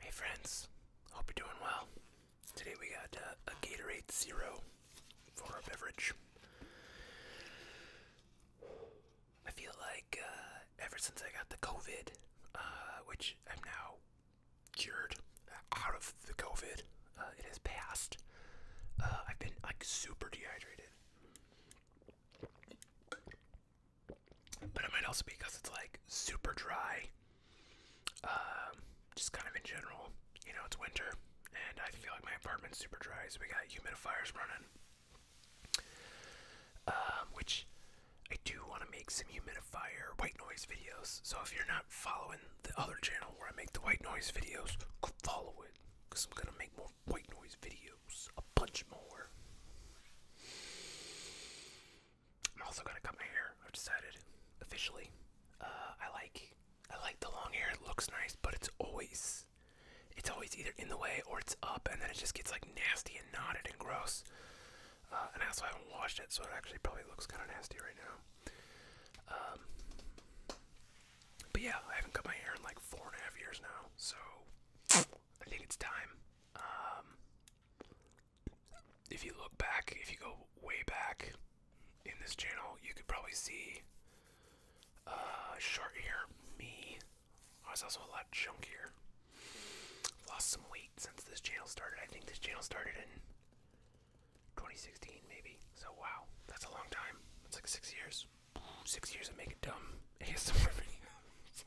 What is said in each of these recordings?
Hey friends, hope you're doing well. Today we got uh, a Gatorade Zero for our beverage. I feel like uh, ever since I got the COVID, uh, which I'm now cured out of the COVID, it has passed. I've been like super dehydrated. But it might also be because it's like super dry. Um, just kind of in general, you know, it's winter, and I feel like my apartment's super dry, so we got humidifiers running. Um, which I do want to make some humidifier white noise videos. So if you're not following the other channel where I make the white noise videos, follow it because I'm gonna make more white noise videos, a bunch more. I'm also gonna cut my hair. I've decided officially. Uh, I like I like the long hair. It looks nice, but it's always it's always either in the way or it's up, and then it just gets like nasty and knotted and gross. Uh, and I haven't washed it, so it actually probably looks kind of nasty right now. Um, but yeah, I haven't cut my hair in like four and a half years now, so I think it's time. Um, if you look back, if you go way back in this channel, you could probably see uh, short here. me. Oh, I was also a lot chunkier. Lost some weight since this channel started. I think this channel started in 2016, maybe. So, wow, that's a long time. It's like six years. Six years of making dumb ASMR videos.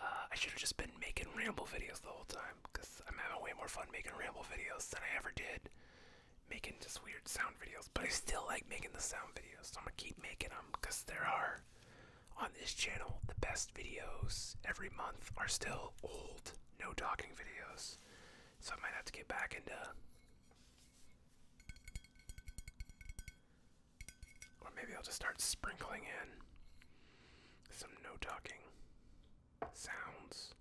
Uh, I should have just been making ramble videos the whole time because I'm having way more fun making ramble videos than I ever did making just weird sound videos. But I still like making the sound videos, so I'm gonna keep making them because there are on this channel the best videos every month are still old no talking videos. So I might have to get back into. Or maybe I'll just start sprinkling in some no talking sounds,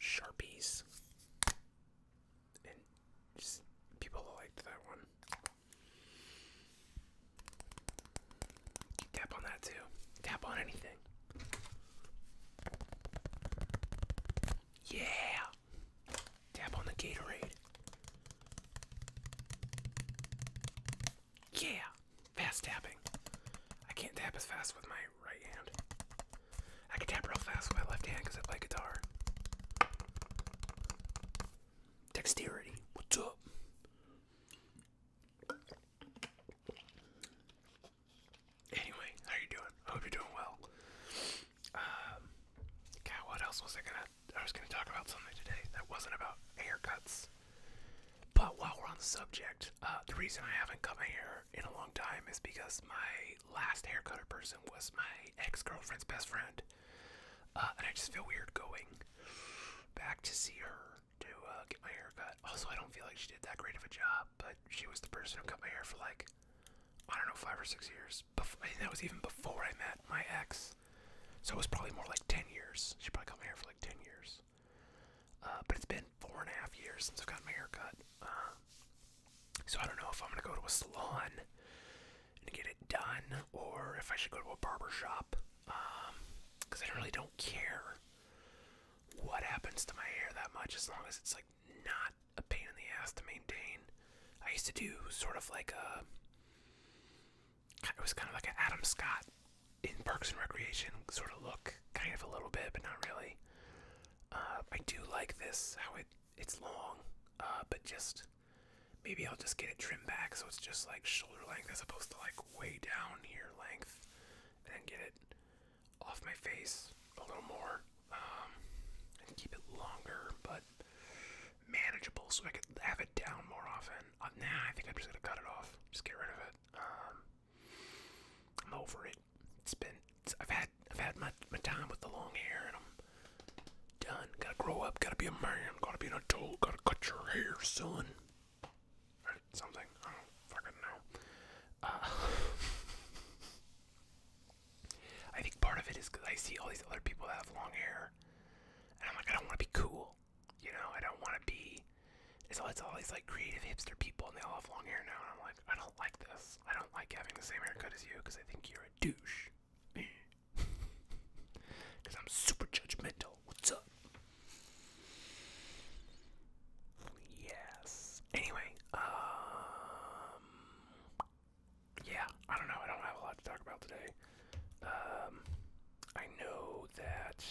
sharpies, and just people liked that one. tap on that too. Tap on anything. Yeah! Tap on the Gatorade. Yeah! Fast tapping. I can't tap as fast with my right hand. I can tap real fast with my left hand because I play guitar. Dexterity. What's up? Anyway, how you doing? I hope you're doing well. Um, God, what else was I gonna I was going to talk about something today that wasn't about haircuts. But while we're on the subject, uh, the reason I haven't cut my hair in a long time is because my last haircutter person was my ex girlfriend's best friend. Uh, and I just feel weird going back to see her to uh, get my hair cut. Also, I don't feel like she did that great of a job, but she was the person who cut my hair for like, I don't know, five or six years. Bef- that was even before I met my ex. So it was probably more like 10 years. She probably cut my hair for like 10 years. Uh, but it's been four and a half years since I've gotten my hair cut. Uh, so I don't know if I'm going to go to a salon and get it done or if I should go to a barber shop. Because um, I really don't care what happens to my hair that much as long as it's like not a pain in the ass to maintain. I used to do sort of like a it was kind of like an Adam Scott in Parks and Recreation sort of look, kind of a little bit, but not really. Uh, I do like this how it it's long, uh, but just maybe I'll just get it trimmed back so it's just like shoulder length as opposed to like way down here length, and get it off my face a little more um, and keep it longer, but manageable so I could have it down more often. Uh, nah, I think I'm just gonna cut it off. Just get rid of it. Um, I'm over it. It's been. I've had. I've had my my time with the long hair, and I'm done. Gotta grow up. Gotta be a man. Gotta be an adult. Gotta cut your hair, son. something. I don't fucking know. Uh, I think part of it is because I see all these other people that have long hair, and I'm like, I don't want to be cool. You know, I don't want to be. So it's all these like creative hipster people, and they all have long hair now. And I'm like, I don't like this. I don't like having the same haircut as you because I think you're a douche. Because I'm super judgmental. What's up? Yes. Anyway, um, yeah. I don't know. I don't have a lot to talk about today. Um, I know that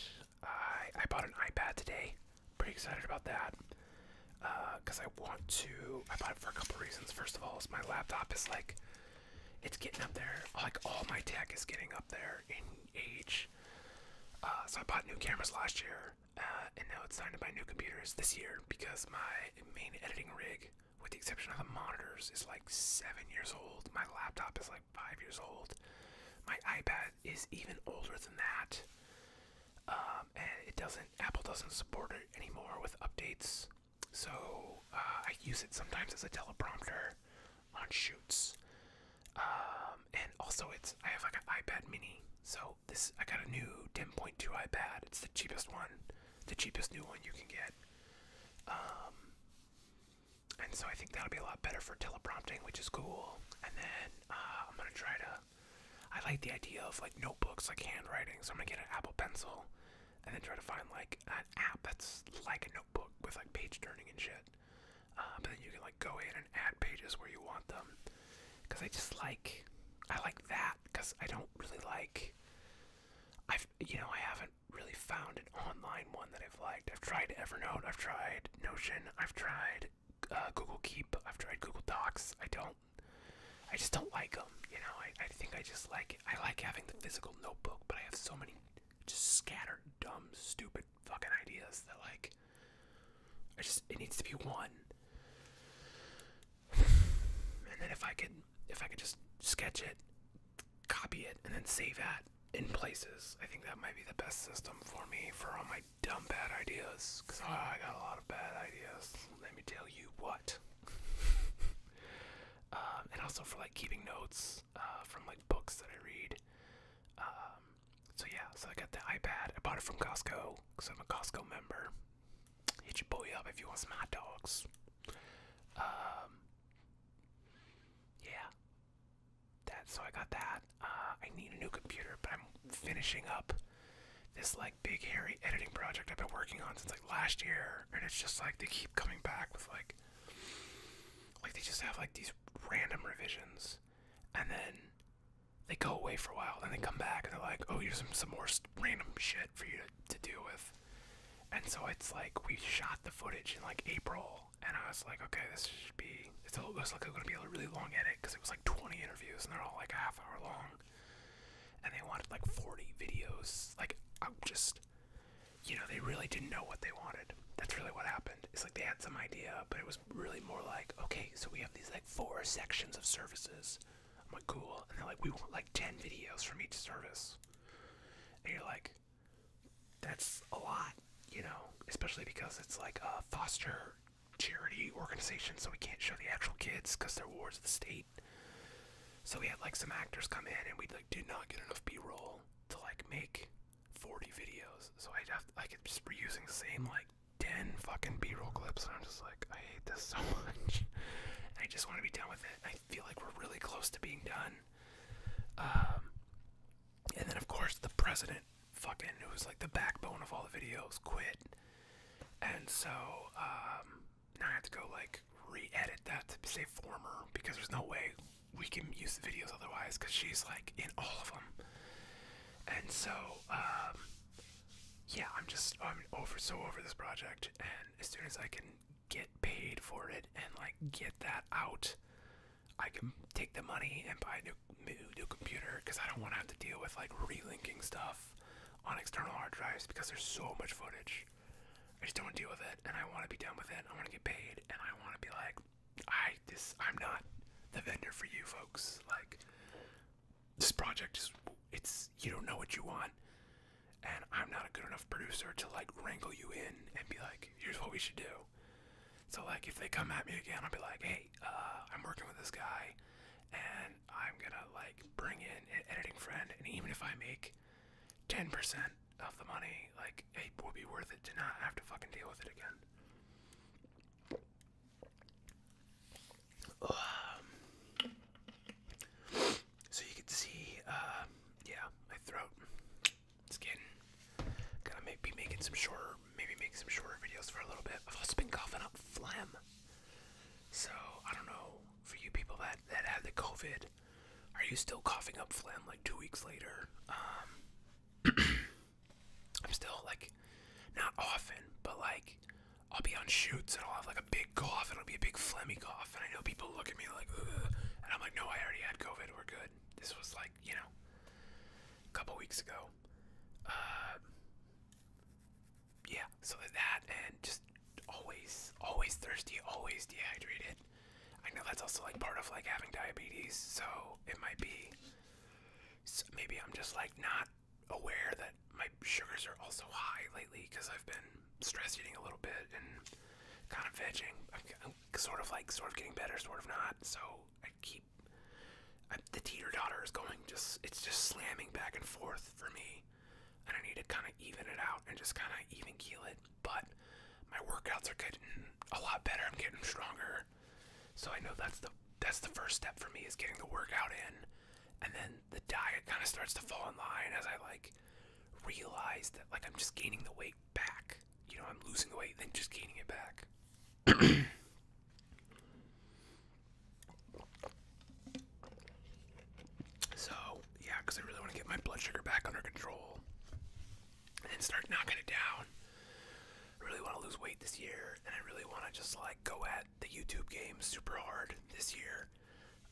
I I bought an iPad today. Pretty excited about that because uh, I want to. I bought it for a couple reasons. First of all, my laptop is like it's getting up there. Like all my tech is getting up there in age. Uh, so I bought new cameras last year, uh, and now it's time to buy new computers this year because my main editing rig, with the exception of the monitors, is like seven years old. My laptop is like five years old. My iPad is even older than that, um, and it doesn't. Apple doesn't support it anymore with updates. So uh, I use it sometimes as a teleprompter on shoots, um, and also it's. I have like an iPad Mini. So this I got a new 10.2 iPad. It's the cheapest one, the cheapest new one you can get. Um, and so I think that'll be a lot better for teleprompting, which is cool. And then uh, I'm gonna try to. I like the idea of like notebooks, like handwriting. So I'm gonna get an Apple Pencil, and then try to find like an app that's like a notebook with like page turning and shit. Uh, but then you can like go in and add pages where you want them. Cause I just like, I like that. Cause I don't really like. I've you know I haven't really found an online one that I've liked. I've tried Evernote, I've tried Notion, I've tried uh, Google Keep, I've tried Google Docs. I don't, I just don't like them. You know, I, I think I just like, I like having the physical notebook, but I have so many just scattered, dumb, stupid fucking ideas that like, I just, it needs to be one. and then if I could, if I could just sketch it, copy it and then save that in places. I think that might be the best system for me for all my dumb bad ideas. Cause ah, I got a lot of bad ideas. Let me tell you what. Um, and also for like keeping notes uh, from like books that I read. Um, so yeah, so I got the iPad. I bought it from Costco because I'm a Costco member. Hit your boy up if you want some hot dogs. Um, yeah, that so I got that. Uh, I need a new computer, but I'm finishing up this like big hairy editing project I've been working on since like last year, and it's just like they keep coming back with like like they just have like these random revisions, and then they go away for a while, then they come back and they're like, oh, here's some, some more random shit for you to, to deal with. And so it's like we shot the footage in like April and I was like, okay, this should be. It's all, it looks like gonna be a really long edit because it was like 20 interviews and they're all like a half hour long, and they wanted like 40 videos. Like I'm just, you know, they really didn't know what they wanted. That's really what happened. It's like they had some idea, but it was really more like, okay, so we have these like four sections of services. I'm like, cool, and they're like, we want like 10 videos from each service, and you're like. That's a lot, you know, especially because it's like a foster charity organization, so we can't show the actual kids because they're wards of the state. So we had like some actors come in, and we like did not get enough B-roll to like make 40 videos. So I have I kept just reusing the same like 10 fucking B-roll clips, and I'm just like, I hate this so much. I just want to be done with it. I feel like we're really close to being done. Um, and then, of course, the president, fucking, who's like the backbone of all the videos, quit. And so um, now I have to go like re-edit that to say former because there's no way we can use the videos otherwise because she's like in all of them. And so um, yeah, I'm just I'm over so over this project, and as soon as I can get paid for it and like get that out I can take the money and buy a new, new computer because I don't want to have to deal with like relinking stuff on external hard drives because there's so much footage. I just don't want to deal with it, and I want to be done with it. I want to get paid, and I want to be like, I this I'm not the vendor for you folks. Like this project is it's you don't know what you want, and I'm not a good enough producer to like wrangle you in and be like, here's what we should do. So like, if they come at me again, I'll be like, hey, uh, I'm working with this guy, and I'm gonna like bring in an editing friend, and even if I make 10% of the money, like, it will be worth it to not have to fucking deal with it again. Um, so you can see, uh, yeah, my throat it's getting gonna make, making some shorter, maybe make some shorter videos for a little bit. I've also been coughing up phlegm, so I don't know for you people that that had the COVID. Are you still coughing up phlegm like two weeks later? Um, I'm still like, not often, but like, I'll be on shoots and I'll have like a big cough and it'll be a big phlegmy cough. And I know people look at me like, Ugh, and I'm like, no, I already had COVID. We're good. This was like, you know, a couple weeks ago. Uh, yeah, so that and just always, always thirsty, always dehydrated. I know that's also like part of like having diabetes, so it might be. maybe I'm just like not aware that my sugars are also high lately because I've been stress eating a little bit and kind of vegging. I'm sort of like sort of getting better, sort of not. So I keep the teeter totter is going just it's just slamming back and forth for me, and I need to kind of even it out and just kind of even keel it. But my workouts are getting a lot better. I'm getting stronger, so I know that's the that's the first step for me is getting the workout in, and then the diet kind of starts to fall in line as I like realize that like I'm just gaining the weight back you know, I'm losing the weight, then just gaining it back. so, yeah, because I really want to get my blood sugar back under control and start knocking it down. I really want to lose weight this year, and I really want to just like go at the YouTube game super hard this year,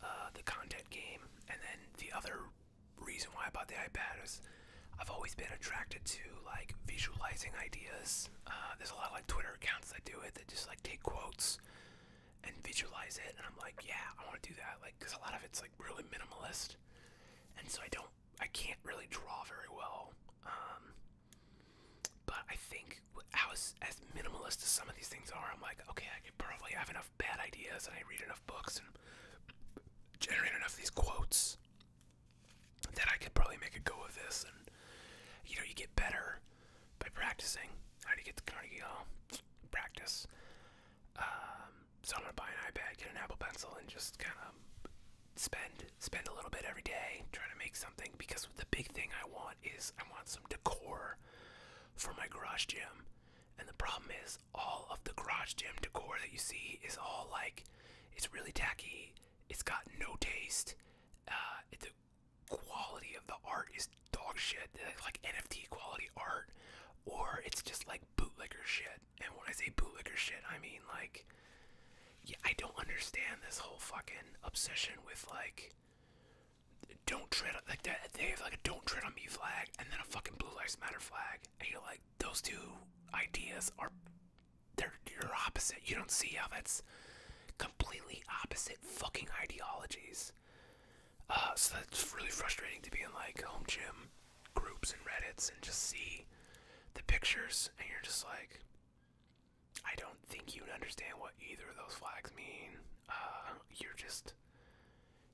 uh, the content game, and then the other reason why I bought the iPad is I've always been attracted to like visualizing ideas. Uh, there's a lot of like Twitter accounts that do it that just like take quotes and visualize it, and I'm like, yeah, I want to do that. Like, cause a lot of it's like really minimalist, and so I don't, I can't really draw very well. Um, but I think I was as minimalist as some of these things are. I'm like, okay, I can probably have enough bad ideas, and I read enough books and generate enough of these quotes that I could probably make a go of this, and you know, you get better by practicing. How do you get the Carnegie Hall? Practice. Um, so I'm gonna buy an iPad, get an Apple Pencil, and just kind of spend spend a little bit every day trying to make something. Because the big thing I want is I want some decor for my garage gym, and the problem is all of the garage gym decor that you see is all like it's really tacky. It's got no taste. Uh, the quality of the art is dog shit, like NFT quality art, or it's just like bootlicker shit. And when I say bootlicker shit, I mean like, yeah, I don't understand this whole fucking obsession with like, don't tread like that. They have like a don't tread on me flag and then a fucking blue lives matter flag, and you're like, those two ideas are they're your opposite. You don't see how that's completely opposite fucking ideologies. Uh, so that's really frustrating to be in like home gym groups and Reddits and just see the pictures and you're just like, I don't think you understand what either of those flags mean. Uh, you're just,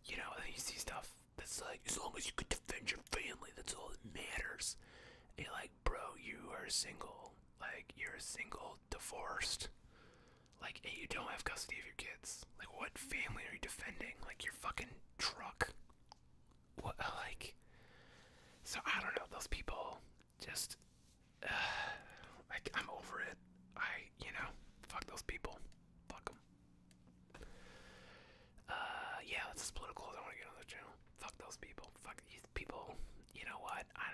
you know, and you see stuff that's like, as long as you can defend your family, that's all that matters. And like, bro, you are single. Like, you're a single, divorced. Like, and you don't have custody of your kids. Like, what family are you defending? Like, your fucking truck. What, like. So, I don't know. Those people just. Uh, like, I'm over it. I, you know, fuck those people. Fuck them. Uh, yeah, this political. I want to get on the channel. Fuck those people. Fuck these people. You know what? I,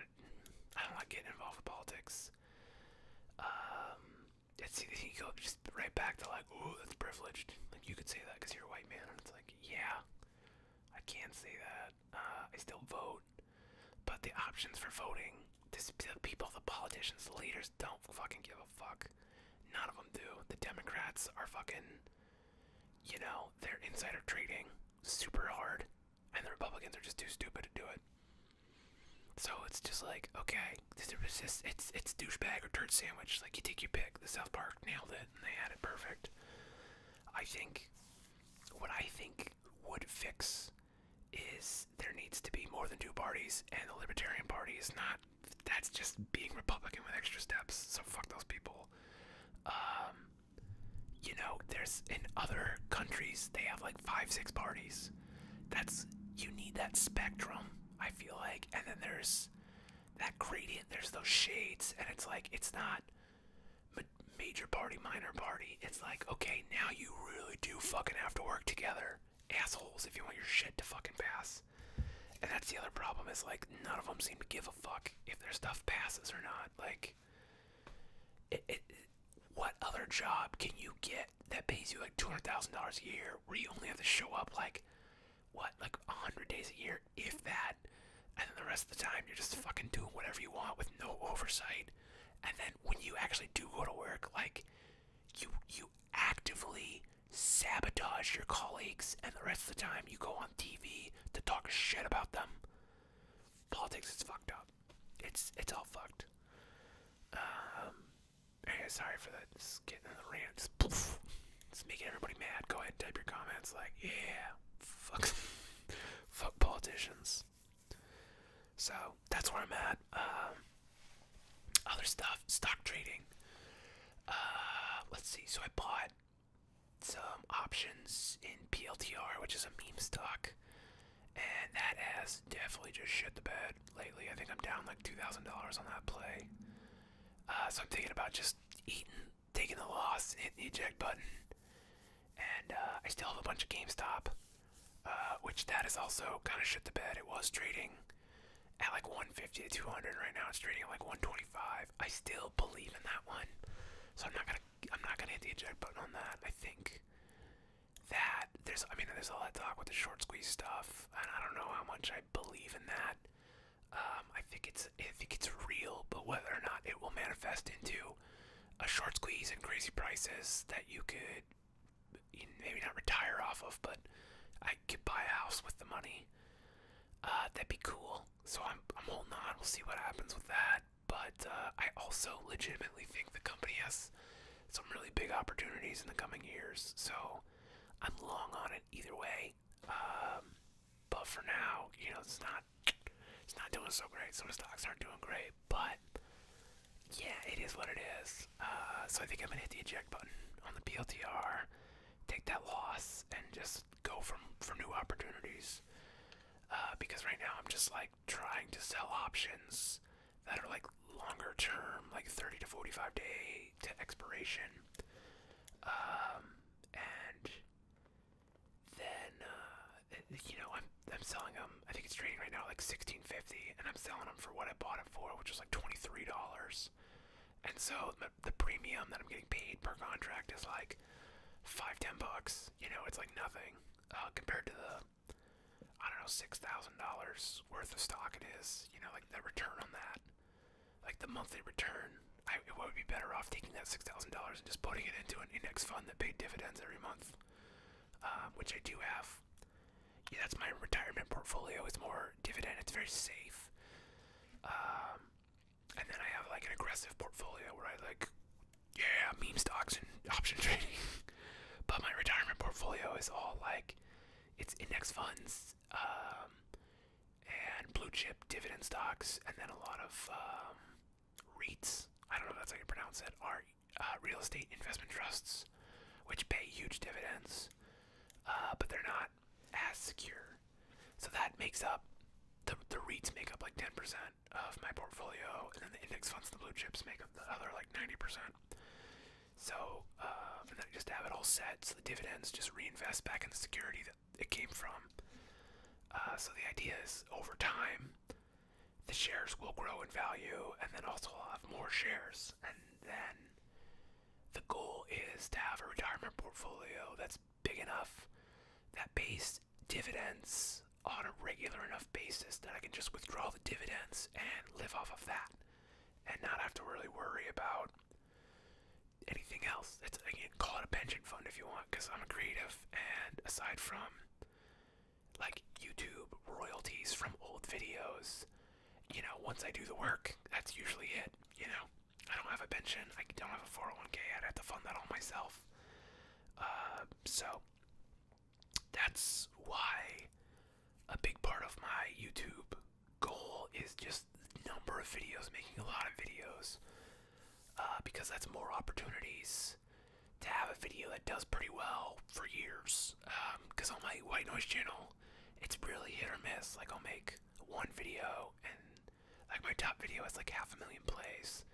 I don't like getting involved with politics. Um, it's you go just right back to like, oh, that's privileged. Like you could say that because you're a white man, and it's like, yeah, I can't say that. Uh, I still vote, but the options for voting, this, the people, the politicians, the leaders don't fucking give a fuck. None of them do. The Democrats are fucking you know, they're insider trading super hard, and the Republicans are just too stupid to do it. So it's just like, okay, this it's it's douchebag or turd sandwich. Like you take your pick. The South Park nailed it, and they had it perfect. I think what I think would fix is there needs to be more than two parties, and the Libertarian Party is not that's just being Republican with extra steps. So fuck those people. Um, you know, there's in other countries they have like five, six parties. That's you need that spectrum. I feel like, and then there's that gradient. There's those shades, and it's like it's not major party, minor party. It's like okay, now you really do fucking have to work together, assholes, if you want your shit to fucking pass. And that's the other problem is like none of them seem to give a fuck if their stuff passes or not. Like, what other job can you get that pays you like two hundred thousand dollars a year, where you only have to show up like, what, like hundred days a year, if that, and then the rest of the time you're just fucking doing whatever you want with no oversight. And then when you actually do go to work, like, you you actively sabotage your colleagues, and the rest of the time you go on TV to talk shit about them. Politics is fucked up. It's it's all fucked. Um, sorry for that. Just getting in the rants. Just, poof, just making everybody mad. Go ahead, type your comments. Like, yeah, fuck, fuck politicians. So that's where I'm at. Um, other stuff, stock trading. Uh, let's see. So I bought some options in PLTR, which is a meme stock, and that has definitely just shit the bed lately. I think I'm down like $2,000 on that play. Uh, so I'm thinking about just eating, taking the loss, hitting the eject button. And uh, I still have a bunch of GameStop, uh, which that is also kind of shit the bed. It was trading at like 150 to 200 right now. It's trading at like 125. I still believe in that one, so I'm not gonna I'm not gonna hit the eject button on that. I think that there's I mean there's all that talk with the short squeeze stuff, and I don't know how much I believe in that. Um, I think it's I think it's real, but whether or not it will manifest into a short squeeze and crazy prices that you could maybe not retire off of, but I could buy a house with the money. Uh, that'd be cool. So I'm, I'm holding on. We'll see what happens with that. But uh, I also legitimately think the company has some really big opportunities in the coming years. So I'm long on it either way. Um, but for now, you know, it's not it's not doing so great. So the stocks aren't doing great. But yeah, it is what it is. Uh, so I think I'm gonna hit the eject button on the PLTR, take that loss, and just go from for new opportunities. Uh, because right now I'm just like trying to sell options that are like longer term, like 30 to 45 day to expiration. Um, and then, uh, you know, I'm, I'm selling them. I think it's trading right now like 1650 and I'm selling them for what I bought it for, which was like $23. And so my the, premium that I'm getting paid per contract is like five ten bucks. You know, it's like nothing uh, compared to the I don't know six thousand dollars worth of stock it is. You know, like the return on that, like the monthly return. I would be better off taking that six thousand dollars and just putting it into an index fund that pays dividends every month, uh, which I do have. Yeah, that's my retirement portfolio. It's more dividend. It's very safe. Um, and then I have like an aggressive portfolio where I like, yeah, meme stocks and option trading. but my retirement portfolio is all like, it's index funds um, and blue chip dividend stocks, and then a lot of um, REITs. I don't know if that's how you pronounce it. Are uh, real estate investment trusts, which pay huge dividends, uh, but they're not as secure. So that makes up the, the REITs make up like 10% of my portfolio, and then the index funds and the blue chips make up the other like 90%. So, uh, and then just have it all set so the dividends just reinvest back in the security that it came from. Uh, so the idea is over time, the shares will grow in value, and then also I'll have more shares. And then the goal is to have a retirement portfolio that's big enough that pays dividends on a regular enough basis that I can just withdraw the dividends and live off of that and not have to really worry about anything else. It's again call it a pension fund if you want because I'm a creative and aside from like YouTube royalties from old videos, you know, once I do the work, that's usually it, you know. I don't have a pension. I don't have a 401k. I'd have to fund that all myself. Uh, so that's why a big part of my YouTube goal is just number of videos, making a lot of videos, uh, because that's more opportunities to have a video that does pretty well for years. Because um, on my white noise channel, it's really hit or miss. Like I'll make one video and like my top video has like half a million plays,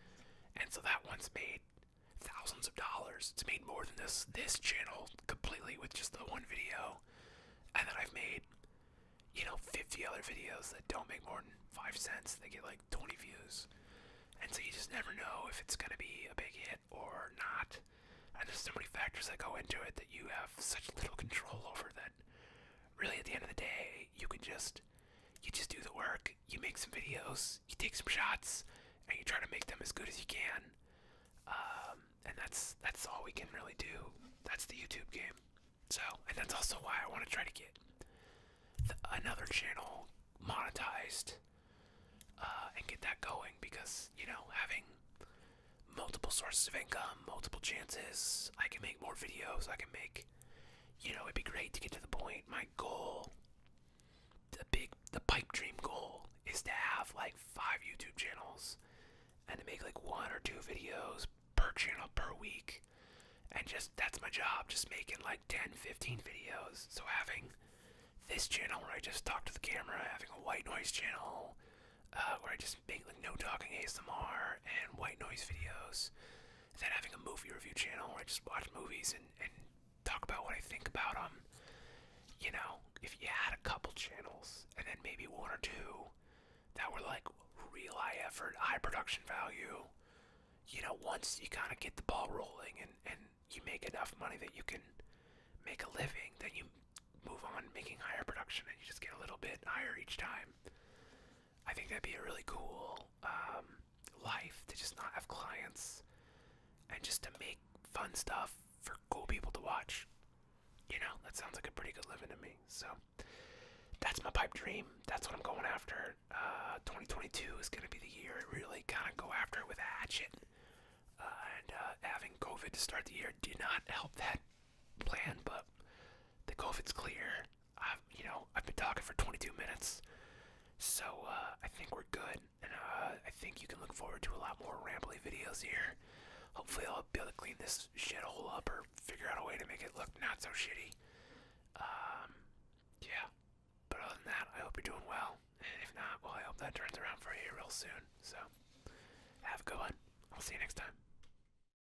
and so that one's made thousands of dollars. It's made more than this this channel completely with just the one video, and then I've made you know 50 other videos that don't make more than five cents. They get like 20 views, and so you just never know if it's gonna be a big hit or not. And there's so many factors that go into it that you have such little control over that really at the end of the day you can just you just do the work, you make some videos, you take some shots, and you try to make them as good as you can. Um, and that's that's all we can really do. That's the YouTube game. So, and that's also why I want to try to get another channel monetized uh, and get that going because you know having multiple sources of income um, multiple chances. I can make more videos. I can make, you know, it'd be great to get to the point. My goal, the big, the pipe dream goal, is to have like five YouTube channels and to make like one or two videos per channel per week. And just that's my job, just making like 10, 15 videos. So having this channel where I just talk to the camera, having a white noise channel uh, where I just just make like no talking ASMR and white noise videos. And then having a movie review channel where I just watch movies and, and talk about what I think about them. You know, if you had a couple channels and then maybe one or two that were like real high effort, high production value, you know, once you kind of get the ball rolling and, and you make enough money that you can make a living, then you move on making higher production and you just get a little bit higher each time. I think that'd be a really cool um, life to just not have clients and just to make fun stuff for cool people to watch. You know, that sounds like a pretty good living to me. So that's my pipe dream. That's what I'm going after. Uh, 2022 is going to be the year I really kind of go after it with a hatchet. Uh, and uh, having COVID to start the year did not help that plan, but the COVID's clear. I've, you know, I've been talking for 22 minutes, so uh, I think we're good, and uh, I think you can look forward to a lot more rambly videos here. Hopefully, I'll be able to clean this shithole up or figure out a way to make it look not so shitty. Um, yeah. But other than that, I hope you're doing well, and if not, well, I hope that turns around for you real soon. So, have a good one. I'll see you next time.